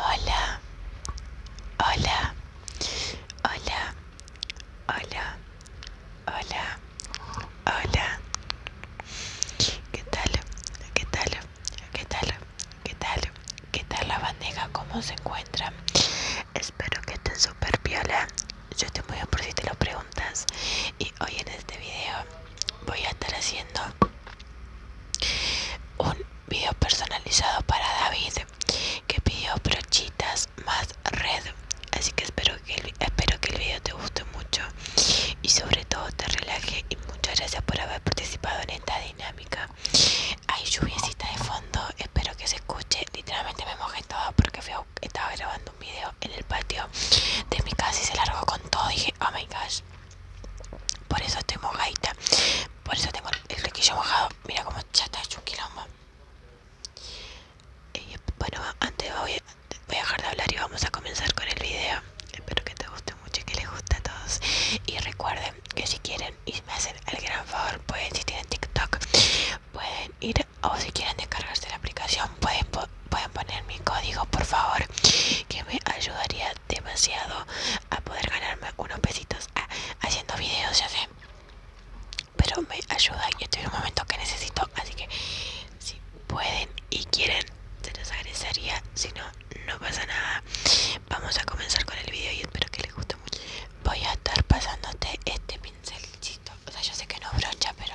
Hola, hola, hola, hola, hola, hola. ¿Qué tal? ¿Qué tal? ¿Qué tal? ¿Qué tal? ¿Qué tal la bandeja? ¿Cómo se encuentra? Espero que estén súper piola Yo te muy a por si te lo preguntas. Y hoy en este video voy a estar haciendo un video personalizado para David que pidió brochitas más red. Así que espero que el, espero que el video te guste mucho y sobre todo te relaje. Y muchas gracias por haber participado en esta dinámica. Hay lluviecita de fondo, espero que se escuche. Literalmente me mojé todo porque estaba grabando un video en el patio de mi casa y se largó con todo. Dije, oh my gosh. Por eso estoy mojadita. Por eso tengo el riquillo mojado. Mira cómo chata está hecho un quilombo. Y, bueno, antes voy a, voy a dejar de hablar y vamos a comenzar con el video. Espero que te guste mucho y que les guste a todos. Y recuerden que si quieren y me hacen el gran favor, pueden, si tienen TikTok, pueden ir o si quieren descargarse la aplicación, pueden pueden poner mi código por favor que me ayudaría demasiado a poder ganarme unos pesitos ah, haciendo videos ya sé pero me ayuda y estoy en un momento que necesito así que si pueden y quieren se los agradecería si no no pasa nada vamos a comenzar con el video y espero que les guste mucho voy a estar pasándote este pincelcito o sea yo sé que no brocha pero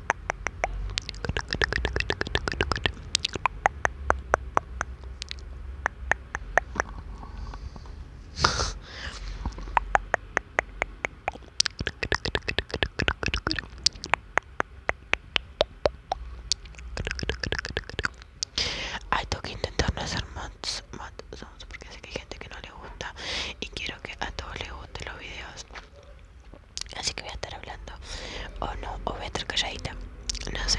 hay que intentar no hacer más, más porque sé que hay gente que no le gusta y quiero que a todos les gusten los videos Así que voy a estar hablando o no, o voy a estar calladita, no sé.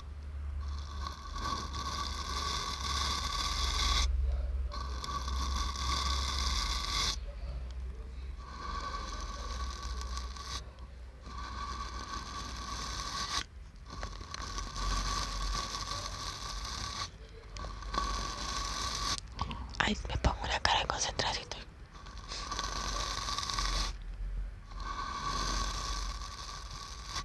Ay, me pongo una cara de concentración.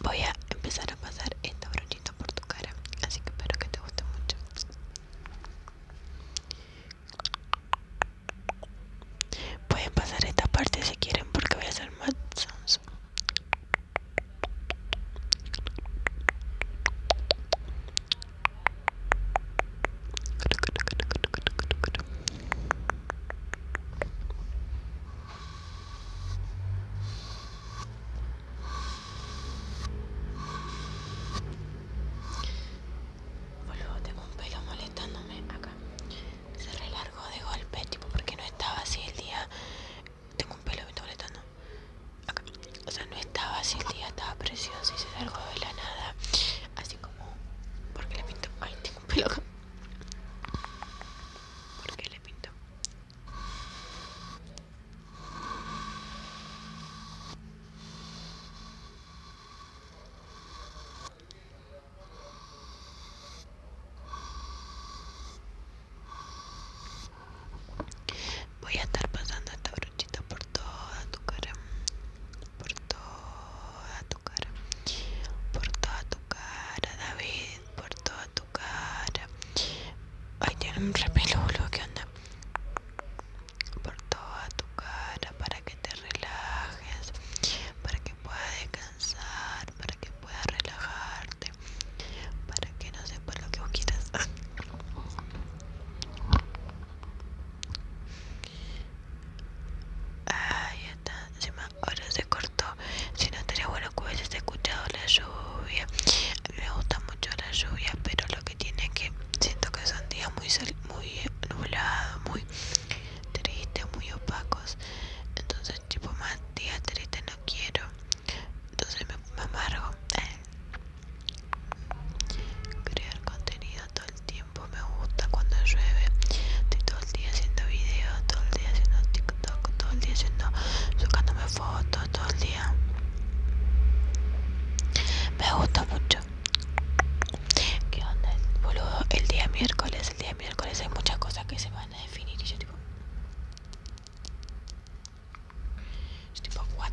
Voy a empezar a pasar esta brochita por tu cara, así que espero que te guste mucho. Pueden pasar esta parte si quieren porque voy a hacer más sounds. Vuelvo, tengo un pelo molestándome acá. Se relargó de golpe, tipo porque no estaba así el día. Tengo un pelo que molestando. Acá. O sea, no estaba así el día, estaba precioso y se largó de la nada. Así como porque le pinto? Ay, tengo un pelo le pinto? Voy a estar pasando esta brochita por toda tu cara por toda tu cara, por toda tu cara, David, por toda tu cara. Ay, tiene un repelulo ¿qué onda? Por toda tu cara, para que te relajes, para que puedas descansar, para que puedas relajarte, para que no sepa lo que vos quieras. Ahí está, ahora se cortó. Si no estaría bueno que hubiese escuchado la lluvia. me gusta mucho la lluvia, pero lo que tiene que siento que son días muy, muy eh, nublados, muy tristes, muy opacos. Entonces, tipo, más días tristes no quiero. Entonces me, amargo. Crear contenido todo el tiempo me gusta cuando llueve. Estoy todo el día haciendo videos, todo el día haciendo TikTok, todo el día haciendo, sacándome fotos, todo el día. Me gusta mucho. ¿Qué onda, boludo? El día miércoles, el día miércoles hay muchas cosas que se van a definir y yo tipo. Yo tipo, what?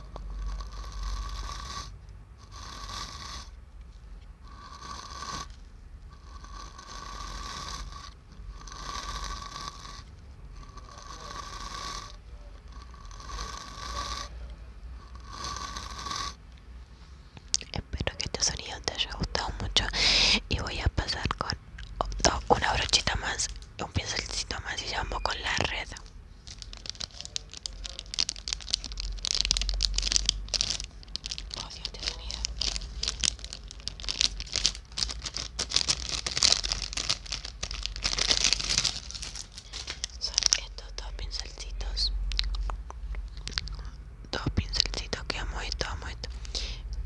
Espero que este sonido te haya gustado mucho y voy a pasar con una brochita más, un pincelcito más y vamos con la red. Son estos dos pincelcitos. Dos pincelcitos que amo esto, amo esto.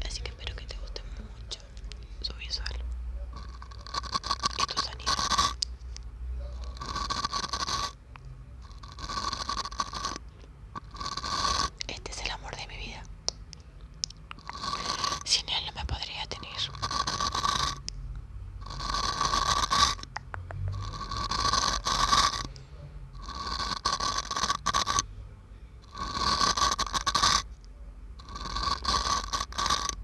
Así que espero que te guste mucho su visual y Este es el amor de mi vida. Sin él no me podría tener.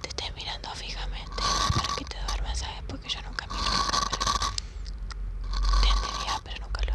te estoy mirando fijamente para que te duermas, ¿sabes? Porque yo nunca miro la cámara. Te pero nunca lo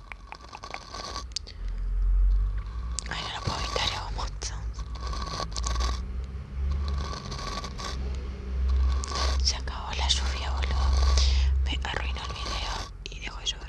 Ay, no lo puedo evitar, hago mucho. Se acabó la lluvia, boludo. Me arruinó el video y dejo de llover.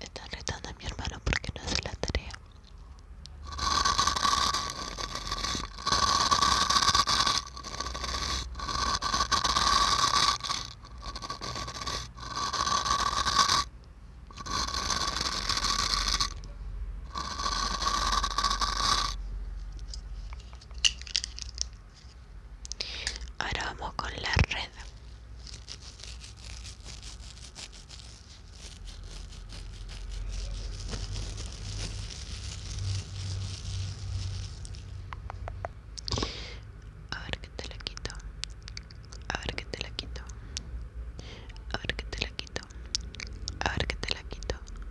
Están retando a mi hermano porque no hace la tarea. Ahora vamos con la red. A ver que te la quito. A ver que te la quito. A ver que te la quito. A ver que te la quito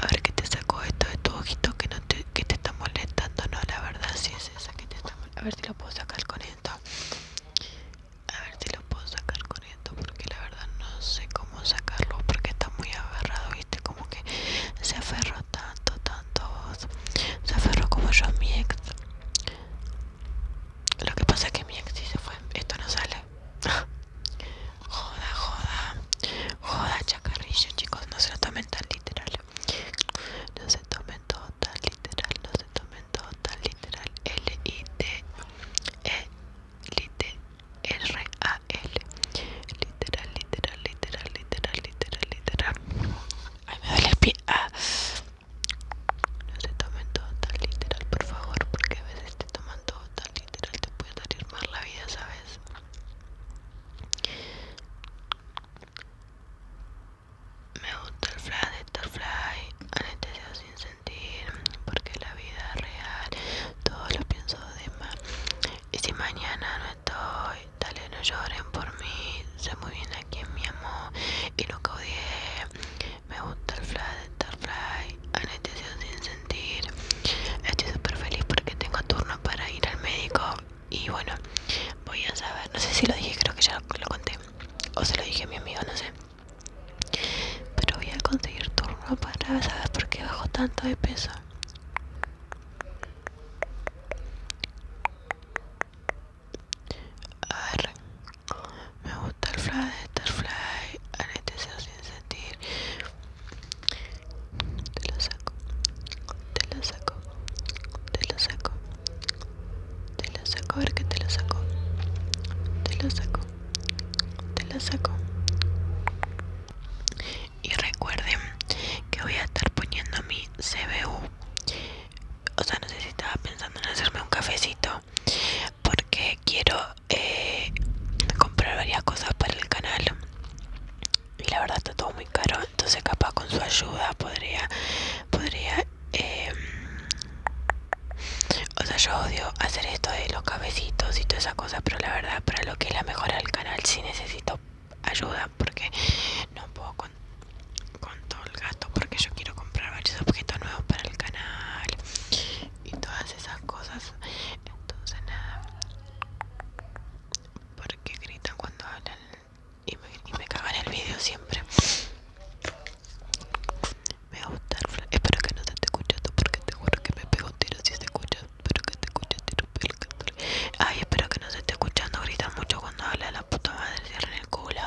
a ver qué te saco esto de tu ojito que no te, que te está molestando. No, la verdad si es esa que te está molestando. A ver si lo puedo sacar con esto. A ver si lo puedo sacar con esto porque la verdad no sé cómo sacarlo porque está muy agarrado, viste, como que se aferró tanto, tanto Se aferró como yo a mi ex. Lo que pasa es que mi ex sí se fue. Esto no sale. Joda, joda, joda, chacarrillo, chicos, no se lo tomen tan literal. No se tomen todo tan literal, no se tomen todo tan literal. L-I-T-E-L-I-T-R-A-L. E e literal, literal, literal, literal, literal, literal. Ay, me duele el pie. Ah. No se tomen todo tan literal, por favor, porque a veces te toman todo tan literal te puedo mal la vida, ¿sabes? Me gusta el fly de Starfly, Anestesiado sin sentir, porque la vida es real, todo lo pienso de más. Y si mañana no estoy, dale, no lloren por mí, sé muy bien a quién me amó y lo que odié. Me gusta el fly de Starfly, anestesia sin sentir. Estoy super feliz porque tengo turno para ir al médico. Y bueno, voy a saber. No sé si lo dije, creo que ya lo conté. O se lo dije a mi amigo, no sé. Pero voy a conseguir turno para saber por qué bajo tanto de peso. A ver, me gusta el fly, star fly, anestesia sin sentir. Te lo saco, te lo saco, te lo saco, te lo saco, a ver que te lo saco, te lo saco, te lo saco. Y recuerden que voy a estar poniendo mi CBU. O sea, no sé si estaba pensando en hacerme un cafecito. Porque quiero eh, comprar varias cosas para el canal y la verdad está todo muy caro entonces capaz con su ayuda podría podría em, o sea yo odio hacer esto de los cabecitos y toda esa cosa pero la verdad para lo que es la mejora del canal si necesito ayuda porque no puedo con, con todo el gasto porque yo quiero comprar varios objetos nuevos para el canal y todas esas cosas entonces nada porque gritan cuando hablan y me, y me cagan el vídeo siempre me a gustar espero que no te esté escuchando porque te juro que me pego un tiro si se escucha espero que te escuche tiro ay espero que no se esté escuchando gritan mucho cuando habla la puta madre en el culo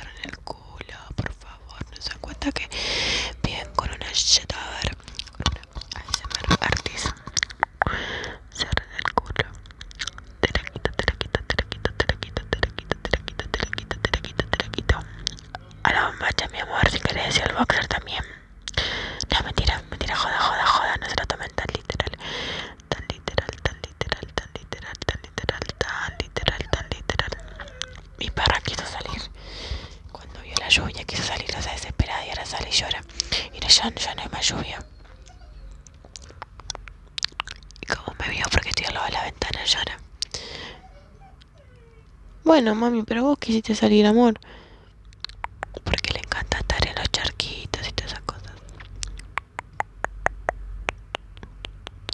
en el culo por favor no se cuenta que bien con una cheta, a ver, una artista cierra el culo te la quito, te la quito, te la quito, te la quito, te la quito, te la quito, te la quito, te la quito, te la quito a la bombacha mi amor, si querés y al boxer también no, mentira, mentira, joda, joda, joda, no se lo tomen tan literal tan literal, tan literal, tan literal, tan literal, tan literal, tan literal mi perra quiso salir. Cuando vio la lluvia quiso salir, o sea, desesperada y ahora sale y llora. Y ya, no hay más lluvia. Y como me vio porque estoy al lado de la ventana, llora. Bueno, mami, pero vos quisiste salir, amor. Porque le encanta estar en los charquitos y todas esas cosas.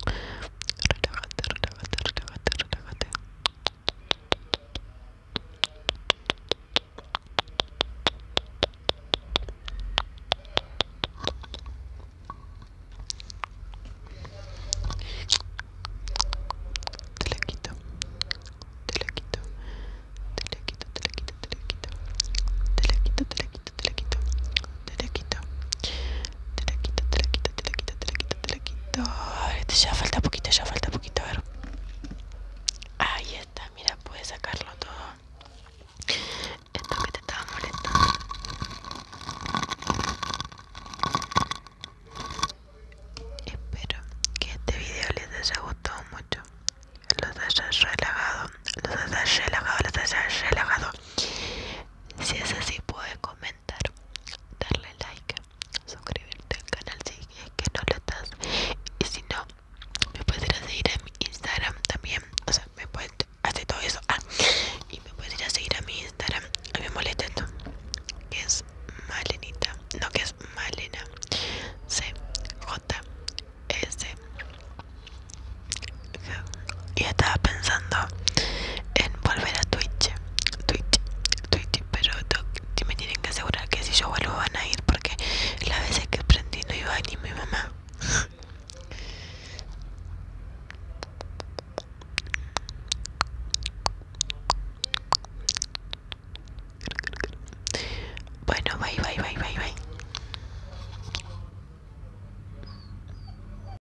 Relájate, relájate, relájate, relájate. Te la quito, te la quito, te la quito, te la quito, te la quito, te la quito, te la quito, te la quito, te la quito. quito. Te la quito, te la quito, te la quito, te la quito, te la quito. Este ya falta poquito, ya falta poquito. A ver. Ahí está, mira, puedes sacarlo todo. Esto que te estaba molestando. Espero que este video les haya gustado mucho. Los haya relajado. Los haya relajado, los haya relajado. Si es así, puedes comer Dar, darle like, suscribirte al canal si es que no lo estás. Y si no, me puedes ir a seguir a mi Instagram también. O sea, me puedes, hacer todo eso. Ah, y me puedes ir a seguir a mi Instagram. A mí me molesta esto. Que es Malenita. No, que es Malena. C J S y estaba pensando en volver a Twitch, Twitch, Twitch, pero me tienen que asegurar que si yo vuelvo van a ir porque las veces que prendí no iba ni mi mamá. Bueno, bye, bye, bye, bye, bye.